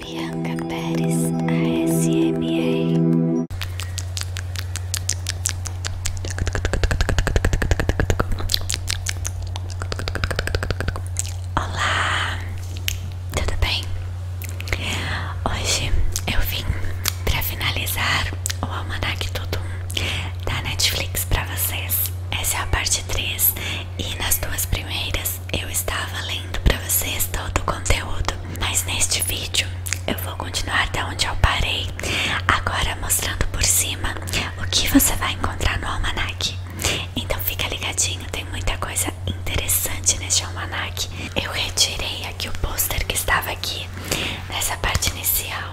Bianca Pérez ASMR Olá, tudo bem? Hoje eu vim para finalizar o Almanac Tudo da Netflix para vocês. Essa é a parte 3 e nas duas primeiras eu estava lendo para vocês todo o conteúdo, mas neste vídeo eu vou continuar de onde eu parei, agora mostrando por cima o que você vai encontrar no almanac. Então fica ligadinho, tem muita coisa interessante neste almanac. Eu retirei aqui o pôster que estava aqui nessa parte inicial.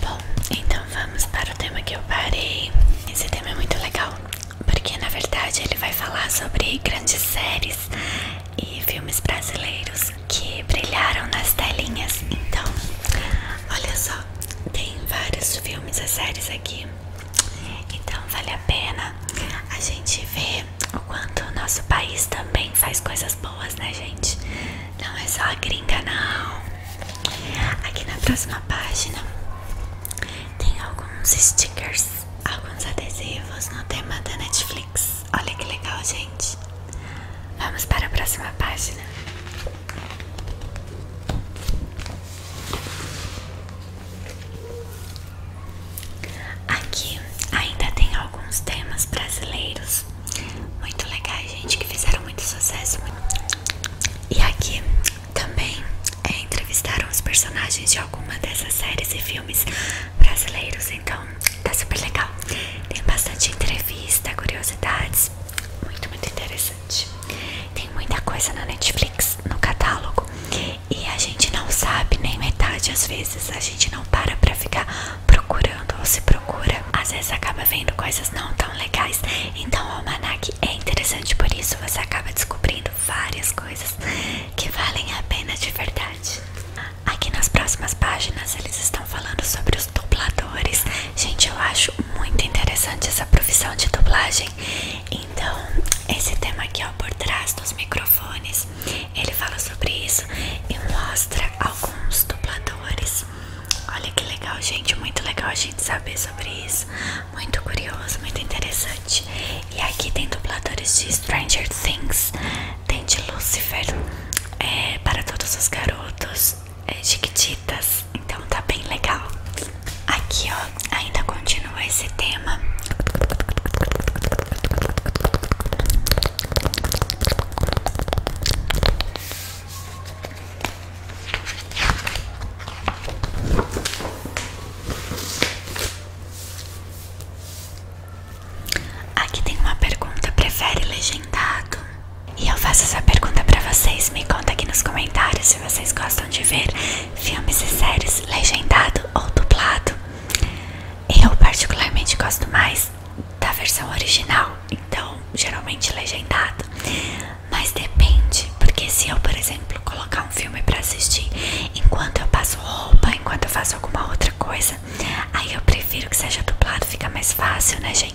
Bom, então vamos para o tema que eu parei. Esse tema é muito legal, porque na verdade ele vai falar sobre grandes séries e filmes brasileiros que brilharam nas telinhas. Então, Olha só, tem vários filmes e séries aqui, então vale a pena a gente ver o quanto o nosso país também faz coisas boas, né, gente? Não é só a gringa, não. Aqui na próxima página tem alguns stickers, alguns adesivos no tema da Netflix. Olha que legal, gente. Vamos para a próxima página. Aqui ainda tem alguns temas brasileiros muito legais, gente, que fizeram muito sucesso. E aqui também é, entrevistaram os personagens de alguma dessas séries e filmes brasileiros, então tá super legal. Tem bastante entrevista, curiosidades muito, muito interessante. Tem muita coisa na Netflix, no catálogo, e a gente não sabe nem metade às vezes. A gente não para pra ficar procurando ou se procura. Às vezes acaba vendo coisas não tão legais. Então, o Almanac é interessante por isso. Você acaba descobrindo várias coisas que valem a pena de verdade. Aqui nas próximas páginas eles estão falando sobre os dubladores. Gente, eu acho muito interessante essa profissão de dublagem. Então, esse tema aqui, ó, por trás dos microfones, ele fala sobre isso e mostra alguns dubladores. Olha que legal, gente. Muito legal a gente saber sobre isso. Muito curioso, muito interessante. E aqui tem dubladores de Stranger Things, tem de Lucifer, é, para todos os garotos, é, Chiquititas, então tá bem legal. Aqui ó, ainda continua esse tema. Aqui tem uma pergunta: prefere legendado? E eu faço essa pergunta pra vocês. Me conta aqui nos comentários se vocês gostam de ver filmes e séries legendado ou dublado. Eu, particularmente, gosto mais da versão original, então geralmente legendado. Mas depende, porque se eu, por exemplo, colocar um filme pra assistir enquanto eu passo roupa, enquanto eu faço alguma outra coisa, aí eu prefiro que seja dublado, fica mais fácil, né, gente?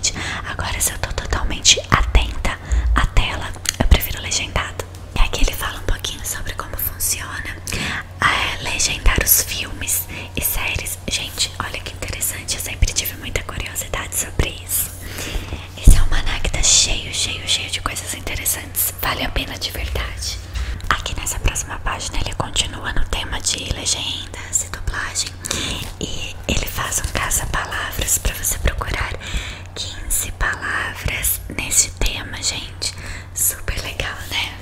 Agora se eu tô totalmente atenta à tela, eu prefiro legendado. E aqui ele fala um pouquinho sobre como funciona é, legendar os filmes e séries. Gente, olha que interessante, eu sempre tive muita curiosidade sobre isso. Esse é um maná que tá cheio, cheio, cheio de coisas interessantes. Vale a pena de verdade. Aqui nessa próxima página ele continua no tema de legendas e dublagem e ele faz um caça-palavras para você procurar 15 palavras nesse tema, gente. Super legal, né?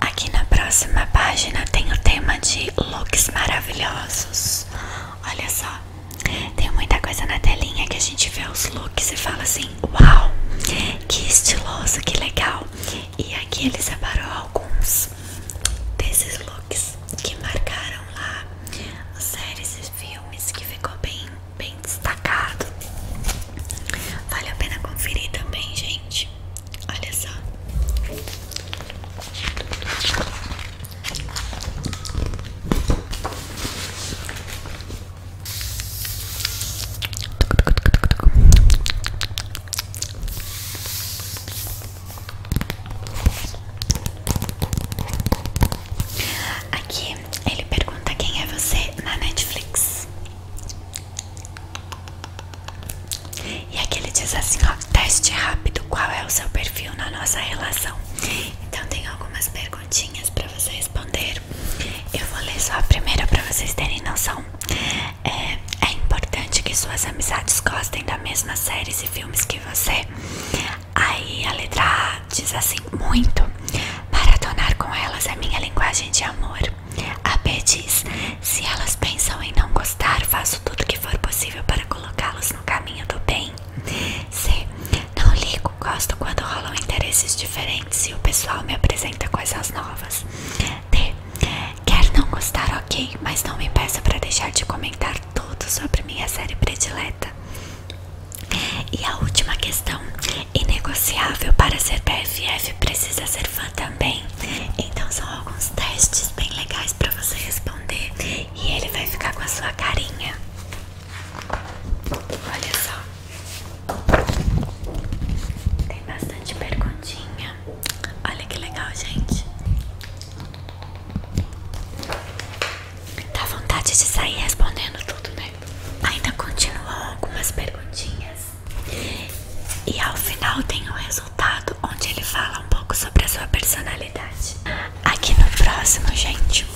Aqui na próxima página tem o tema de looks maravilhosos. Olha só, tem muita coisa na telinha que a gente vê os looks e fala assim: Uau, que estiloso, que legal. E aqui ele separou alguns desses looks que marcaram lá séries e filmes que ficou bem, bem destacado. Vale a pena conferir também, gente. Olha só. Aqui ele pergunta quem é você na Netflix. E aqui ele diz assim, ó, teste rápido, qual é o seu perfil na nossa relação? Então tem algumas perguntinhas para você responder. Eu vou ler só a primeira para vocês terem noção. É, é, importante que suas amizades gostem da mesma séries e filmes que você. Aí a letra A diz assim: muito. Maratonar com elas é minha linguagem de amor. A B diz: se elas pensam em não gostar, faço tudo que for possível para colocá-las no caminho do bem. C. Não ligo, gosto quando rolam interesses diferentes e o pessoal me apresenta coisas novas. D. Quer não gostar, ok, mas não me peça para deixar de comentar tudo sobre minha série predileta. E a última questão, inegociável para ser BFF precisa ser fã também. Então são alguns testes bem legais para você responder e ele vai ficar com a sua carinha. Olha só. Tem bastante perguntinha. Olha que legal, gente. Dá vontade de sair respondendo tudo, né? Ainda continuam algumas perguntinhas. E ao final tem o um resultado onde ele fala um pouco sobre a sua personalidade. Aqui no próximo, gente,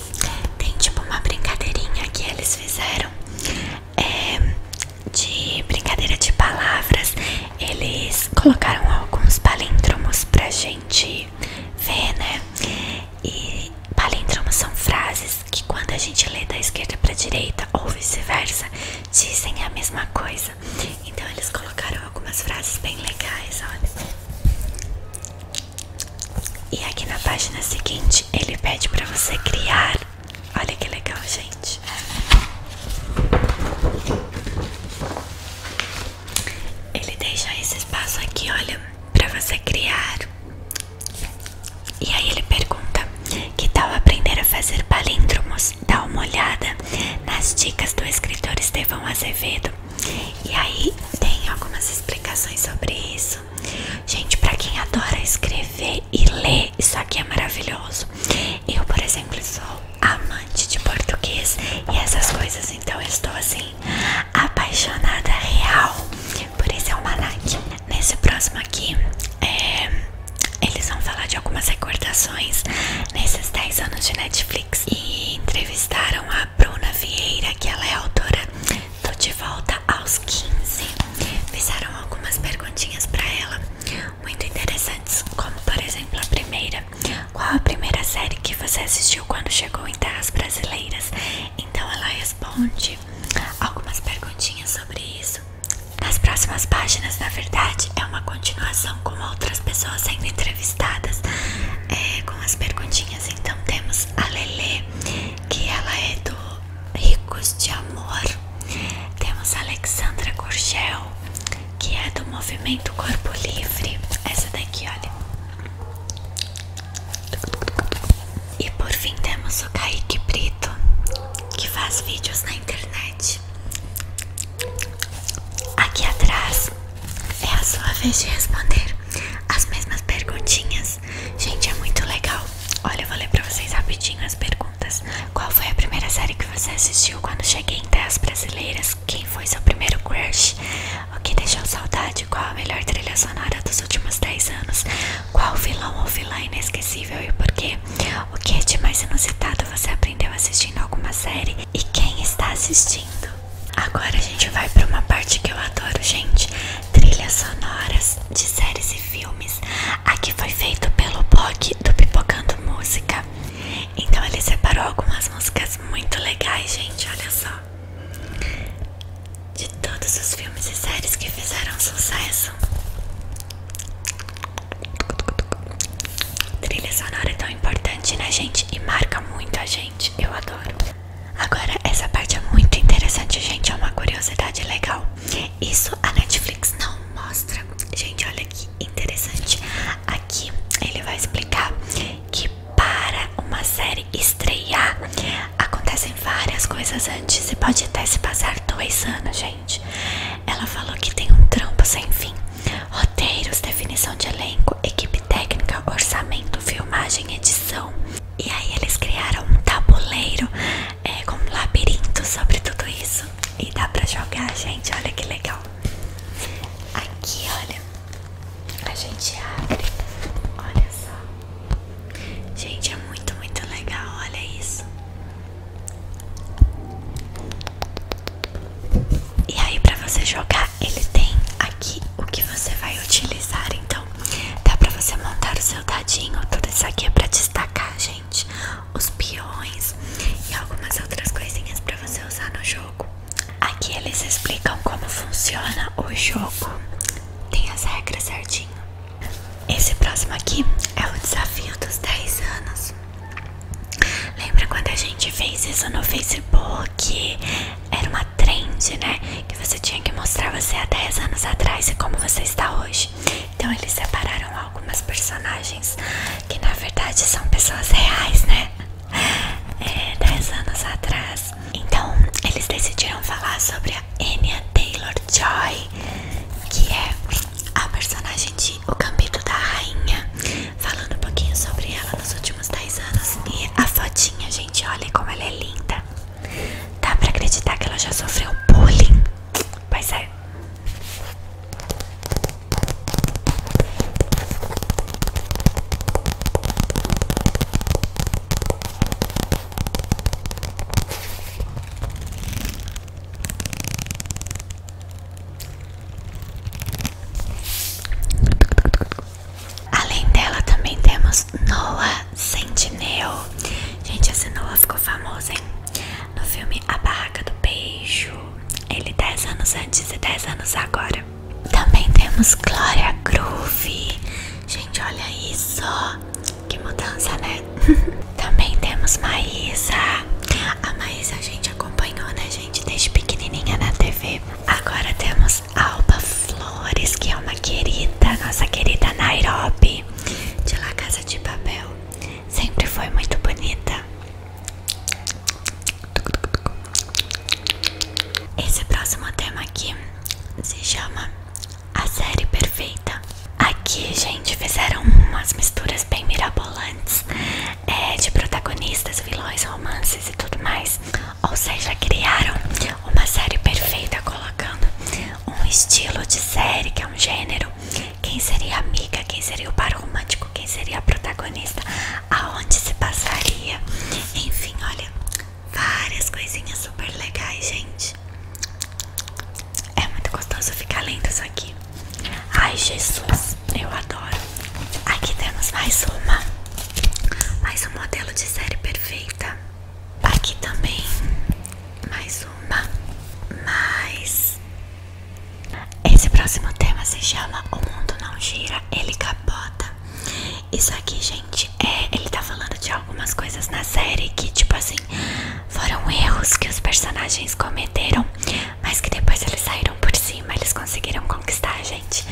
tem tipo uma brincadeirinha que eles fizeram é, de brincadeira de palavras eles colocaram alguns palíndromos pra gente ver, né? E palíndromos são frases que quando a gente lê da esquerda pra direita ou vice-versa, dizem a mesma coisa. Então eles colocaram algumas frases bem legais, olha. E aqui na página seguinte ele pede pra você criar. Olha que legal, gente. Ele deixa esse espaço aqui, olha, pra você criar. E aí ele pergunta: Que tal aprender a fazer palíndromos? Dá uma olhada nas dicas do escritor Estevão Azevedo. E aí tem algumas explicações sobre isso. Gente, pra quem adora escrever e ler, isso aqui é maravilhoso. Eu, por exemplo, sou amante de português e essas coisas, então estou assim, apaixonada real por esse almanac. Nesse próximo aqui, é, eles vão falar de algumas recordações nesses 10 anos de Netflix e entrevistaram a Bruna Vieira, que ela é autora do De Volta aos 15. Fizeram algumas perguntinhas para ela muito interessantes, como por exemplo a primeira. Qual a primeira série que você assistiu quando chegou em terras brasileiras? Então ela responde algumas perguntinhas sobre isso. Nas próximas páginas, na verdade, é uma continuação com outras pessoas sendo entrevistadas é, com as perguntinhas. Então temos a Lele, que ela é do Ricos de Amor. Temos a Alexandra Gurgel, que é do movimento Corpo Livre. Essa daqui, olha. E por fim temos o Kaique Brito, que faz vídeos na internet. Aqui atrás é a sua vez de responder as mesmas perguntinhas. Gente, é muito legal. Olha, eu vou ler pra vocês rapidinho as perguntas. Qual foi a primeira série que você assistiu quando cheguei em terras brasileiras? Quem foi seu primeiro crush? O que deixou saudade? Qual a melhor trilha sonora dos últimos 10 anos? Qual vilão ou vilã inesquecível e por quê? O que é de mais inusitado você aprendeu assistindo alguma série? E quem está assistindo? Agora a gente vai para uma parte que eu adoro, gente. Trilhas sonoras de séries e filmes. Aqui foi feito pelo Bog do Pipocando Música. Então ele separou algumas músicas muito legais, gente, olha só. De todos os filmes e séries que fizeram sucesso. Trilha sonora é tão importante, né, gente? E marca muito a gente. Eu adoro. Agora, essa parte é muito interessante, gente. É uma curiosidade legal. Isso a Netflix não mostra. Gente, olha que interessante. Aqui ele vai explicar que para uma série estrear acontecem várias coisas antes e pode até se passar dois anos, gente. Ela falou que tem um trampo sem fim. Roteiros, definição de elenco, equipe técnica, orçamento, filmagem, edição. E aí eles criaram um tabuleiro é, com um labirinto sobre tudo isso. E dá pra jogar, gente, olha que legal Aqui, olha A gente abre Olha só Gente, é muito, muito legal, olha isso E aí pra você jogar, ele tem aqui o que você vai utilizar Então, dá pra você montar o seu dadinho Tudo isso aqui é pra destacar, gente os peões e algumas outras coisinhas para você usar no jogo. Aqui eles explicam como funciona o jogo. Tem as regras certinho. Esse próximo aqui é o desafio dos 10 anos. Lembra quando a gente fez isso no Facebook? Era uma trend, né? Que você tinha que mostrar você há 10 anos atrás e como você está hoje. Então eles separaram algumas personagens que na verdade são pessoas reais, né? É, 10 anos atrás. Então eles decidiram falar sobre a Anya Taylor Joy, que é a personagem de O Gambito da Rainha, falando um pouquinho sobre ela nos últimos 10 anos. E a fotinha, gente, olha como ela é linda. Dá pra acreditar que ela já sofreu bullying? Pois é. Além dela também temos Noah Sentinel Gente, essa Noah ficou famosa, hein? No filme A Barraca do Beijo, ele 10 anos antes e 10 anos agora. Também temos Glória Groove. Gente, olha isso. Que mudança, né? Também temos Maísa. A Maísa a gente acompanhou, né, gente? Desde pequenininha na TV. Agora temos Alba Flores, que é uma querida, nossa querida Nairobi. De La Casa de Papel. Sempre foi muito bonita. Esse próximo tema aqui se chama A Série Perfeita. Aqui, gente, fizeram umas misturas bem mirabolantes é, de protagonistas, vilões, romances e tudo mais. Ou seja, criaram uma série perfeita colocando um estilo de série que é um gênero quem seria a amiga? Quem seria o par romântico? Quem seria a protagonista? Aonde se passaria? Enfim, olha, várias coisinhas super legais, gente. É muito gostoso ficar lendo isso aqui. Ai, Jesus, eu adoro. Aqui temos mais uma. Mais um modelo de série perfeita. Aqui também. Mais uma. Mais esse próximo tema se chama O Mundo Não Gira, Ele Capota. Isso aqui, gente, é, ele tá falando de algumas coisas na série que, tipo assim, foram erros que os personagens cometeram, mas que depois eles saíram por cima, eles conseguiram conquistar a gente.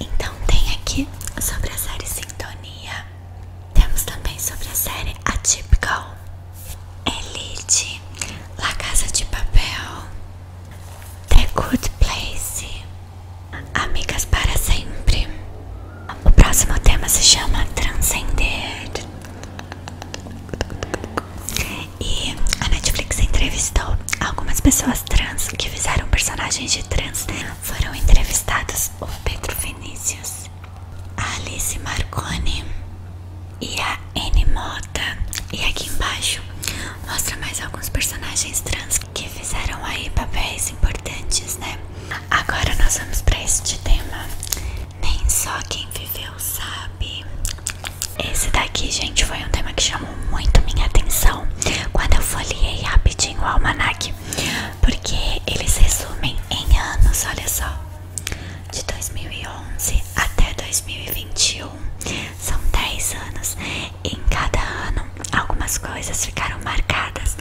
Então, tem aqui sobre a série Sintonia. Temos também sobre a série A Atypical. Elite, La Casa de Papel, The Good Place, Amigas para Sempre. O próximo tema se chama Transcender. E a Netflix entrevistou algumas pessoas trans que fizeram personagens de trans. Foram entrevistados o Pedro Vinícius, Alice Marconi, e a N Mota. E aqui embaixo mostra mais alguns personagens trans que fizeram aí papéis importantes, né? Agora nós vamos para este tema. Nem só quem viveu sabe. Esse daqui, gente, foi um tema que chamou muito minha atenção quando eu folhei rapidinho o almanac, porque eles resumem em anos, olha só de 2011 até 2021 são 10 anos em cada ano algumas coisas ficaram marcadas.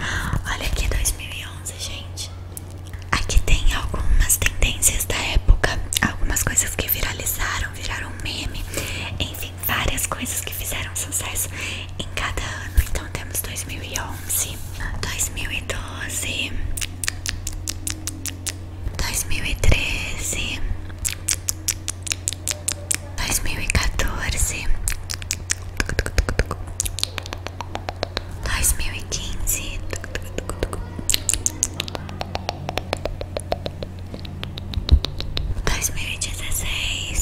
Olha aqui 2011, gente. Aqui tem algumas tendências da época, algumas coisas que viralizaram, viraram meme, enfim, várias coisas que fizeram sucesso em cada ano. Então temos 2011, 2012, dois dois dois mil mil mil e e e quatorze, quinze, dois mil e 2016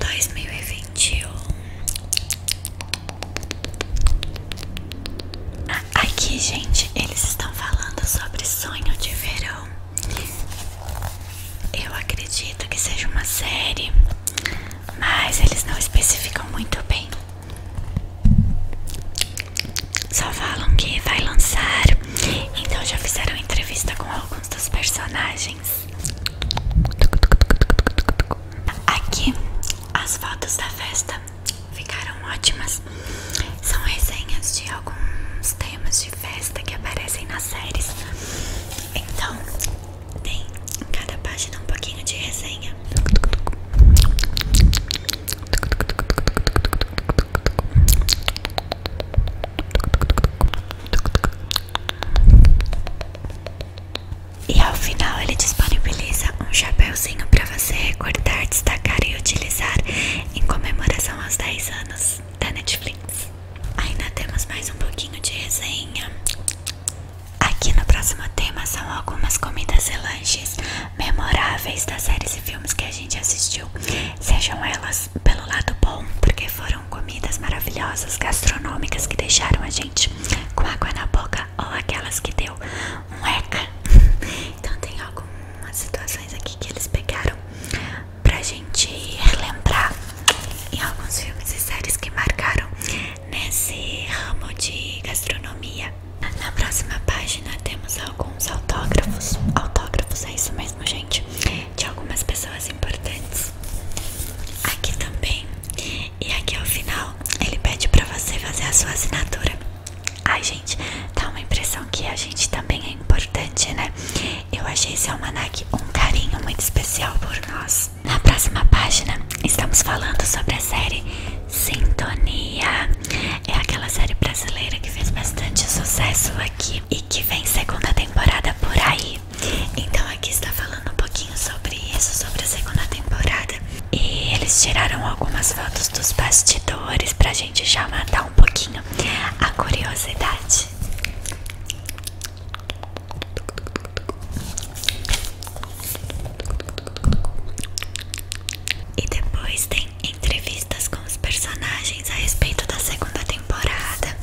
2021 Aqui, gente, eles estão falando sobre Sonho de Verão. Eu acredito que seja uma série, mas eles não especificam muito bem. Só falam que vai lançar, então já fizeram entrevista com alguém dos personagens. Aqui as fotos da festa ficaram ótimas. São resenhas de alguns temas de festa que aparecem nas séries. Então, tem em cada página um pouquinho de resenha. E ao final ele disponibiliza um chapéuzinho para você recordar, destacar e utilizar em comemoração aos 10 anos da Netflix. Ainda temos mais um pouquinho de resenha. Aqui no próximo tema são algumas comidas e lanches memoráveis das séries e filmes que a gente gente assistiu, sejam elas pelo lado bom, porque foram comidas maravilhosas, gastronômicas que deixaram a gente com água na boca, ou aquelas que deu um eca. Então, tem algumas situações aqui que eles pegaram pra gente relembrar em alguns filmes e séries que marcaram nesse ramo de gastronomia. Na próxima página temos alguns autógrafos. Autógrafos, é isso mesmo, gente de algumas pessoas importantes aqui também. E aqui ao final ele pede para você fazer a sua assinatura. Ai, gente, dá uma impressão que a gente também é importante, né? Eu achei esse almanac um carinho muito especial por nós. Na próxima página, estamos falando sobre a série Sintonia. É aquela série brasileira que fez bastante sucesso aqui que vem segunda temporada por aí. Então aqui está falando um pouquinho sobre isso, sobre a segunda temporada. E eles tiraram algumas fotos dos bastidores pra gente já matar um pouquinho a curiosidade. E depois tem entrevistas com os personagens a respeito da segunda temporada.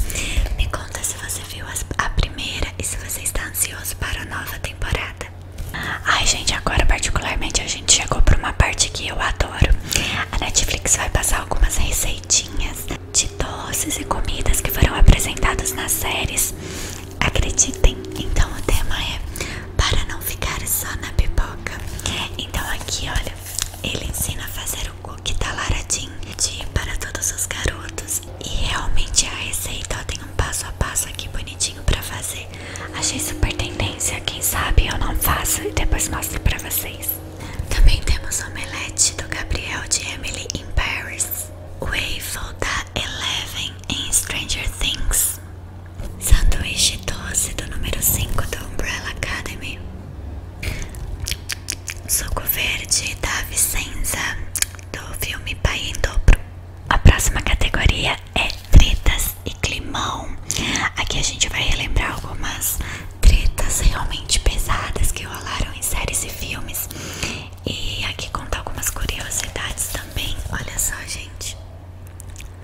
Me conta se você viu a primeira e se você está ansioso para a nova temporada. Ai, gente, agora particularmente a gente chegou para uma parte que eu adoro. A Netflix vai passar algumas receitinhas de doces e comidas que foram apresentadas nas séries. Acreditem, então o tema é para não ficar só na pipoca. Então aqui, olha, ele ensina a fazer frango que tá laradinho de para todos os garotos. E realmente a receita tem um passo a passo aqui bonitinho pra fazer. Achei super tendência, quem sabe eu não faço e depois mostro pra vocês. Também temos omelete do Gabriel de Emily in Paris. Waffle da Eleven em Stranger Things. Sanduíche doce do número 5 do Umbrella Academy. Suco Verde da tá? Vicenza do filme Pai em Dobro. A próxima categoria é tretas e climão. Aqui a gente vai relembrar algumas tretas realmente pesadas que rolaram em séries e filmes. E aqui contar algumas curiosidades também. Olha só, gente.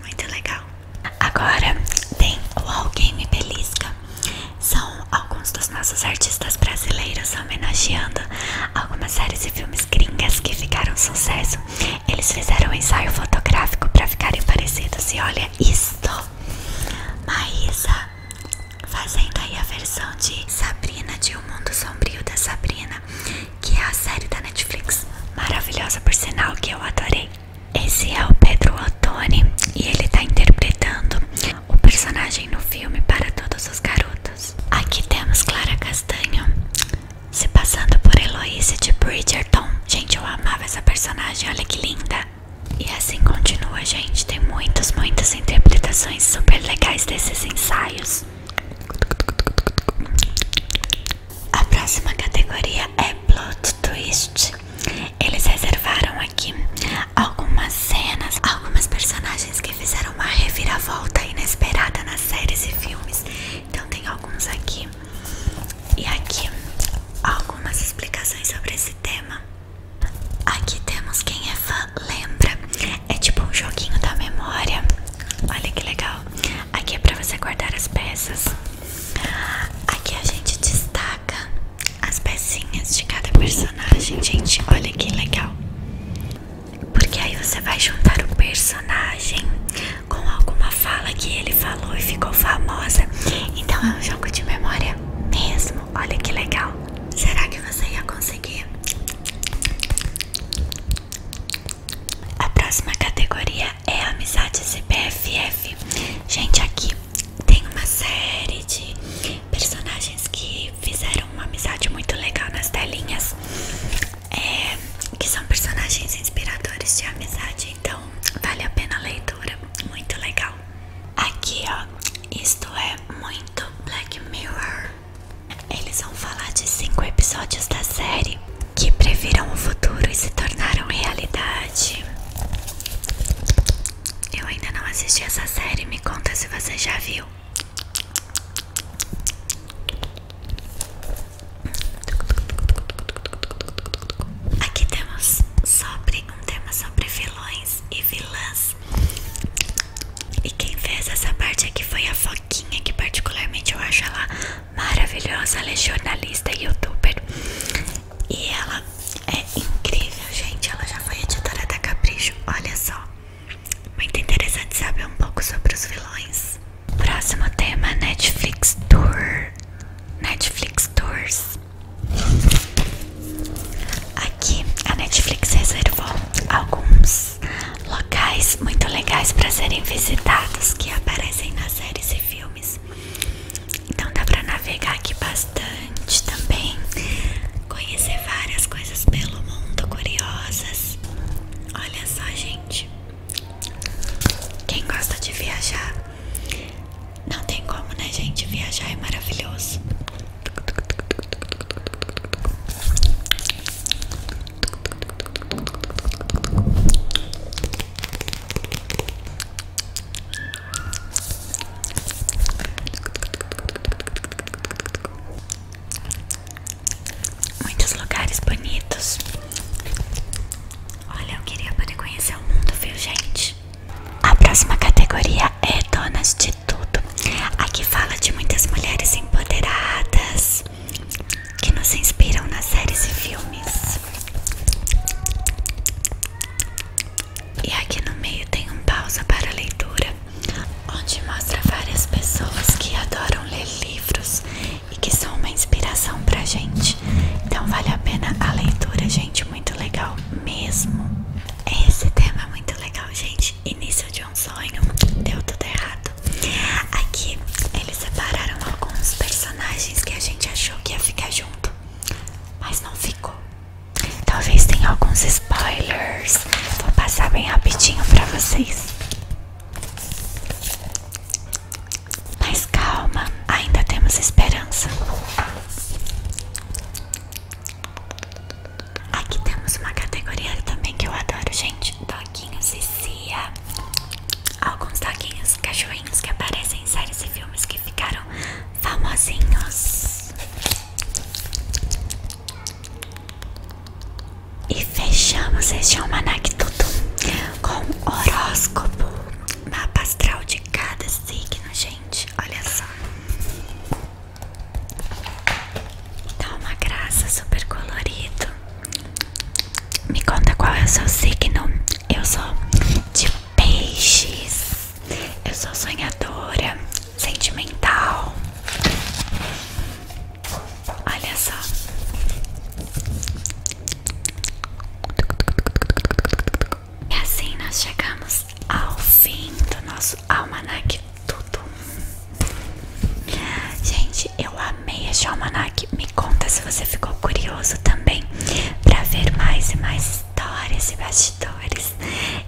Muito legal. Agora tem o Alguém Me Belisca. São alguns dos nossos artistas brasileiros homenageando algumas séries e filmes gringas que ficaram sucesso. Eles fizeram um ensaio fotográfico para ficarem parecidos. E olha isto! Maísa fazendo aí a versão de Sabrina de O Mundo Sombrio da Sabrina, que é a série da Netflix. Maravilhosa por sinal que eu adorei. Esse é o Pedro Ottoni e ele está interpretando o personagem no filme Para Todos os Garotos. Aqui temos Clara Castanho se passando por Heloise de Bridgerton. Gente, eu amava essa personagem, olha que linda. E assim continua, gente. Tem muitas, muitas interpretações super legais desses ensaios. A próxima categoria é Plot Twist. Eles reservaram aqui algumas cenas, algumas personagens que fizeram uma reviravolta inesperada nas séries e filmes. Então tem alguns aqui. E aqui algumas explicações sobre esse tema. Aqui temos quem é fã lembra. É tipo um joguinho da memória. Olha que legal. Aqui é para você guardar as peças. Aqui a gente destaca as pecinhas de cada personagem, gente. Olha que legal. Porque aí você vai juntar o personagem com alguma fala que ele falou e ficou famosa. Então é um jogo de memória mesmo. Olha que legal. Será que você ia conseguir? A próxima categoria é amizade e Gente, aqui tem uma série de personagens que fizeram uma amizade muito legal nas telinhas. É, que são personagens inspiradores de amizade, então vale a pena a leitura, muito legal. Aqui ó, isto é muito Black Mirror. Eles vão falar de cinco episódios da série que previram o futuro e se tornaram realidade. Eu ainda não assisti essa série, me conta se você já viu. Aqui temos sobre um tema sobre vilões e vilãs. E quem fez essa parte aqui foi a Foquinha, que particularmente eu acho ela maravilhosa, ela é jornalista e youtuber. E ela é incrível, gente. Ela já foi editora da Capricho. Olha só. Muito interessante saber um pouco sobre os vilões. Próximo tema: Netflix Tour. Netflix Tours. Aqui a Netflix reservou alguns locais muito legais para serem visitados que aparecem nas séries e filmes. Então dá pra navegar aqui bastante também. Conhecer várias coisas pelo mundo, curiosas. Olha só, gente. Quem gosta de viajar, não tem como, né, gente? Viajar é maravilhoso. Muitos lugares bonitos. Olha, eu queria poder conhecer o mundo, viu, gente? A próxima categoria é Donas de Tudo. Aqui fala de muitas mulheres empoderadas que nos inspiram nas séries e filmes. E aqui no meio tem um pausa para leitura, onde mostra várias pessoas que adoram ler livros e que são uma inspiração pra gente. Então vale a pena a leitura, gente, muito legal mesmo. Esse tema é muito legal, gente. Início de um sonho, deu tudo errado. Aqui eles separaram alguns personagens que a gente achou que ia ficar junto mas não ficou. Talvez tenha alguns spoilers. Vou passar bem rapidinho pra vocês. Mas calma, ainda temos esperança. Aqui temos uma categoria também que eu adoro, gente. Doguinhos e Cia alguns laguinhos, cachorrinhos que aparecem em séries e filmes que ficaram famosinhos. E fechamos este almanac tudo com horóscopo, mapa astral de cada signo, gente. Olha só. Dá tá uma graça, super colorido. Me conta qual é o seu signo. Eu sou de Peixes. Eu sou sonhadora, sentimental. Olha só. E assim nós chegamos ao fim do nosso almanaque tudo. Gente, eu amei esse almanaque conta se você ficou curioso também para ver mais e mais histórias e bastidores.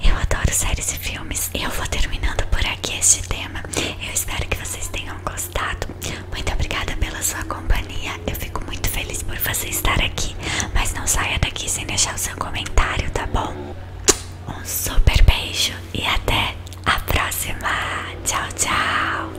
Eu adoro séries e filmes. e Eu vou terminando por aqui este tema. Eu espero que vocês tenham gostado. Muito obrigada pela sua companhia. Eu fico muito feliz por você estar aqui. Mas não saia daqui sem deixar o seu comentário, tá bom? Um super beijo e até a próxima. Tchau, tchau.